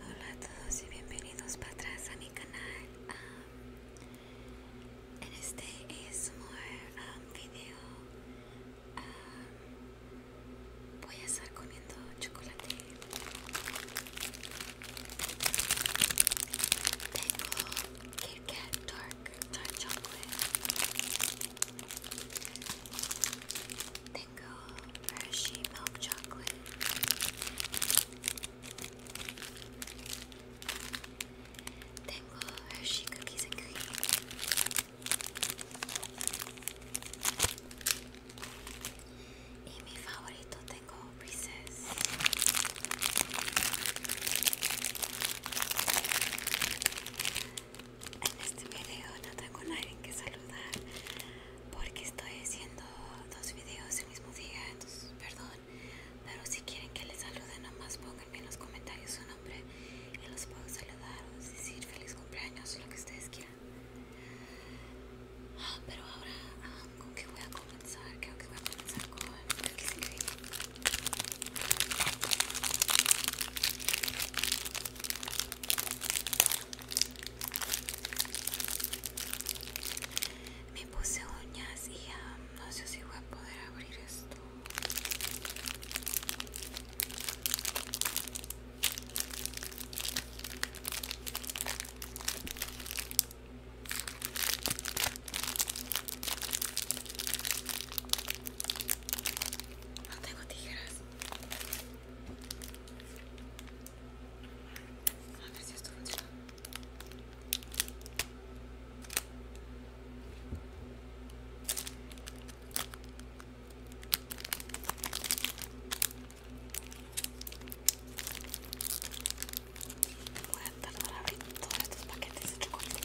Hola a todos y bienvenidos para atrás a mi canal. Ah, en este es un ah, video. Ah, voy a estar comiendo chocolate. Tengo Kit Kat Dark Dark Chocolate. Tingle Hershey Milk Chocolate. Tingle Hershey Cookies and Cream. mi favorito tengo Reese's. En este video no tengo nadie que saludar porque estoy haciendo dos videos el mismo día, entonces perdón, pero si quieren que les salude nomás pónganme en los comentarios su nombre y los puedo saludar o decir feliz cumpleaños o lo que ustedes quieran. Ah, pero ahora, ah, ¿con qué voy a comenzar? Creo que voy a comenzar con el que me puse uñas y um, no sé si voy a poder abrir esto. No tengo tijeras. A veces esto funciona. Voy a tardar a abrir todos estos paquetes de chocolate.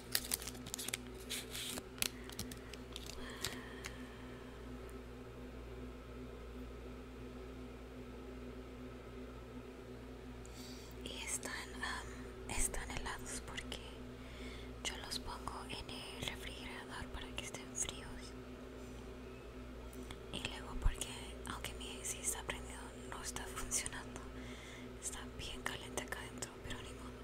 y están, están helados porque yo los pongo en el refrigerador para que estén fríos y luego porque aunque mi AC está prendido no está funcionando está bien caliente acá adentro pero ni modo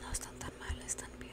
No están tan mal, están bien.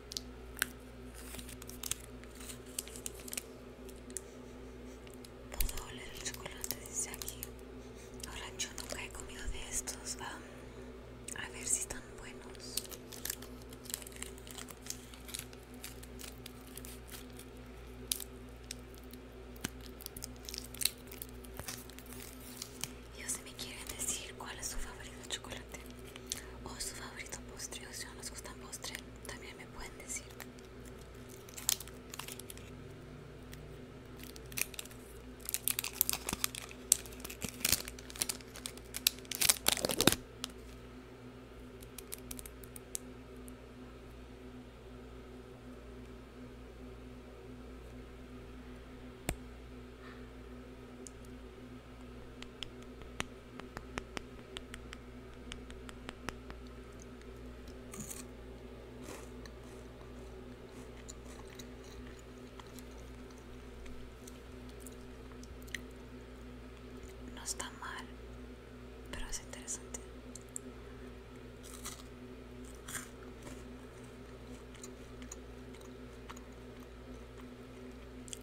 Puedo el chocolate de aquí. Ahora yo nunca he comido de estos. a ver si están buenos. Yo se me quieren decir cuál es su favorito chocolate o su favorito postre o si no les gustan postre también me pueden decir no está mal, pero es interesante.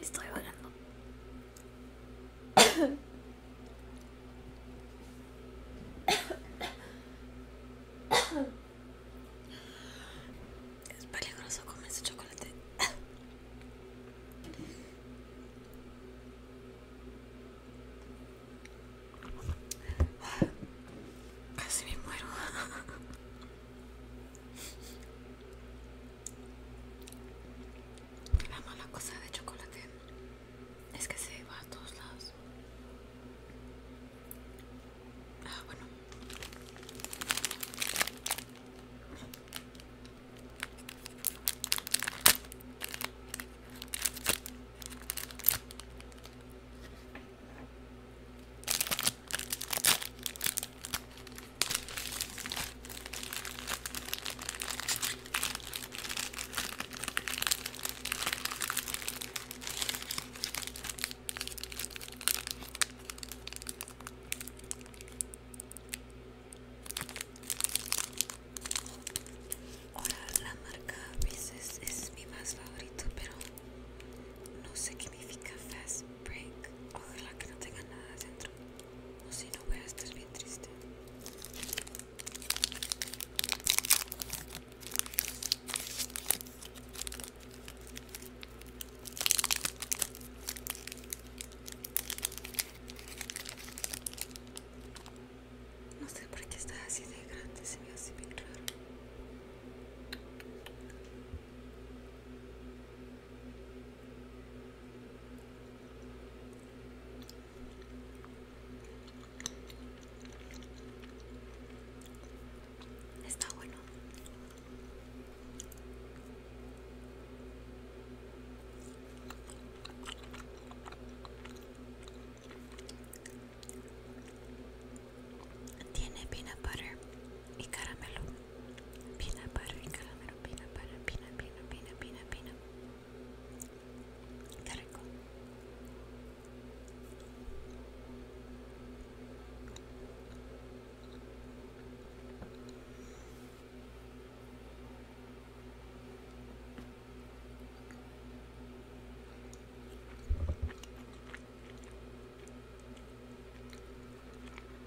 Estoy volando Es peligroso comer ese chocolate. Casi me muero. La mala cosa de chocolate es que se va a todos lados. Ah, bueno. Ahora la marca Reese's es mi más favorito, pero no sé qué significa fast break. Ojalá que no tenga nada dentro. No, sé, no voy a estar bien triste. No sé por qué está así de grande, se ve así bien raro. Está bueno. Tiene peanut butter y caramelo. Pina para el caramelo, pina para, pina, pina, pina, pina, pina.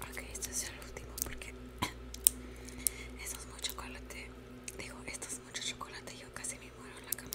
Ok, este es el último porque esto es mucho chocolate. Digo, esto es mucho chocolate. Yo casi me muero en la cámara.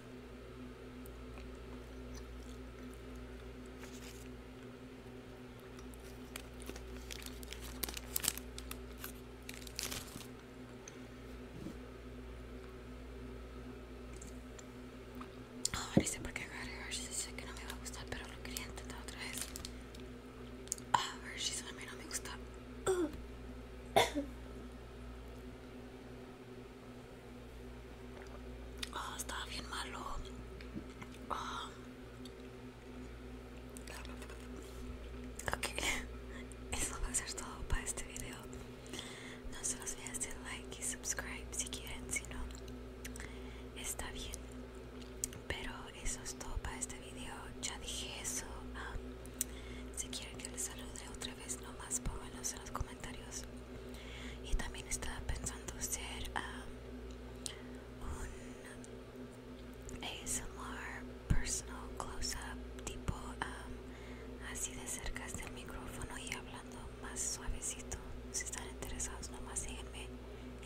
Ahora sé por qué Hershey's sé que no me va a gustar, pero lo quería intentar otra vez. ver ah, si Hershey's a mí no me gusta. Oh, estaba bien malo. Ah. Ok, eso va a ser todo para este video. No se los olviden de like y subscribe si quieren, si no, está bien. Pero eso es todo para este video. Ya dije eso. Ah, si quieren que les salude otra vez, no más, pónganlos en los comentarios y también estaba pensando hacer um, un ASMR personal close-up tipo um, así de cerca del micrófono y hablando más suavecito si están interesados nomás síguenme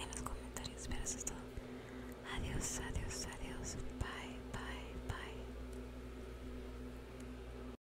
en los comentarios pero eso es todo adiós adiós adiós bye bye bye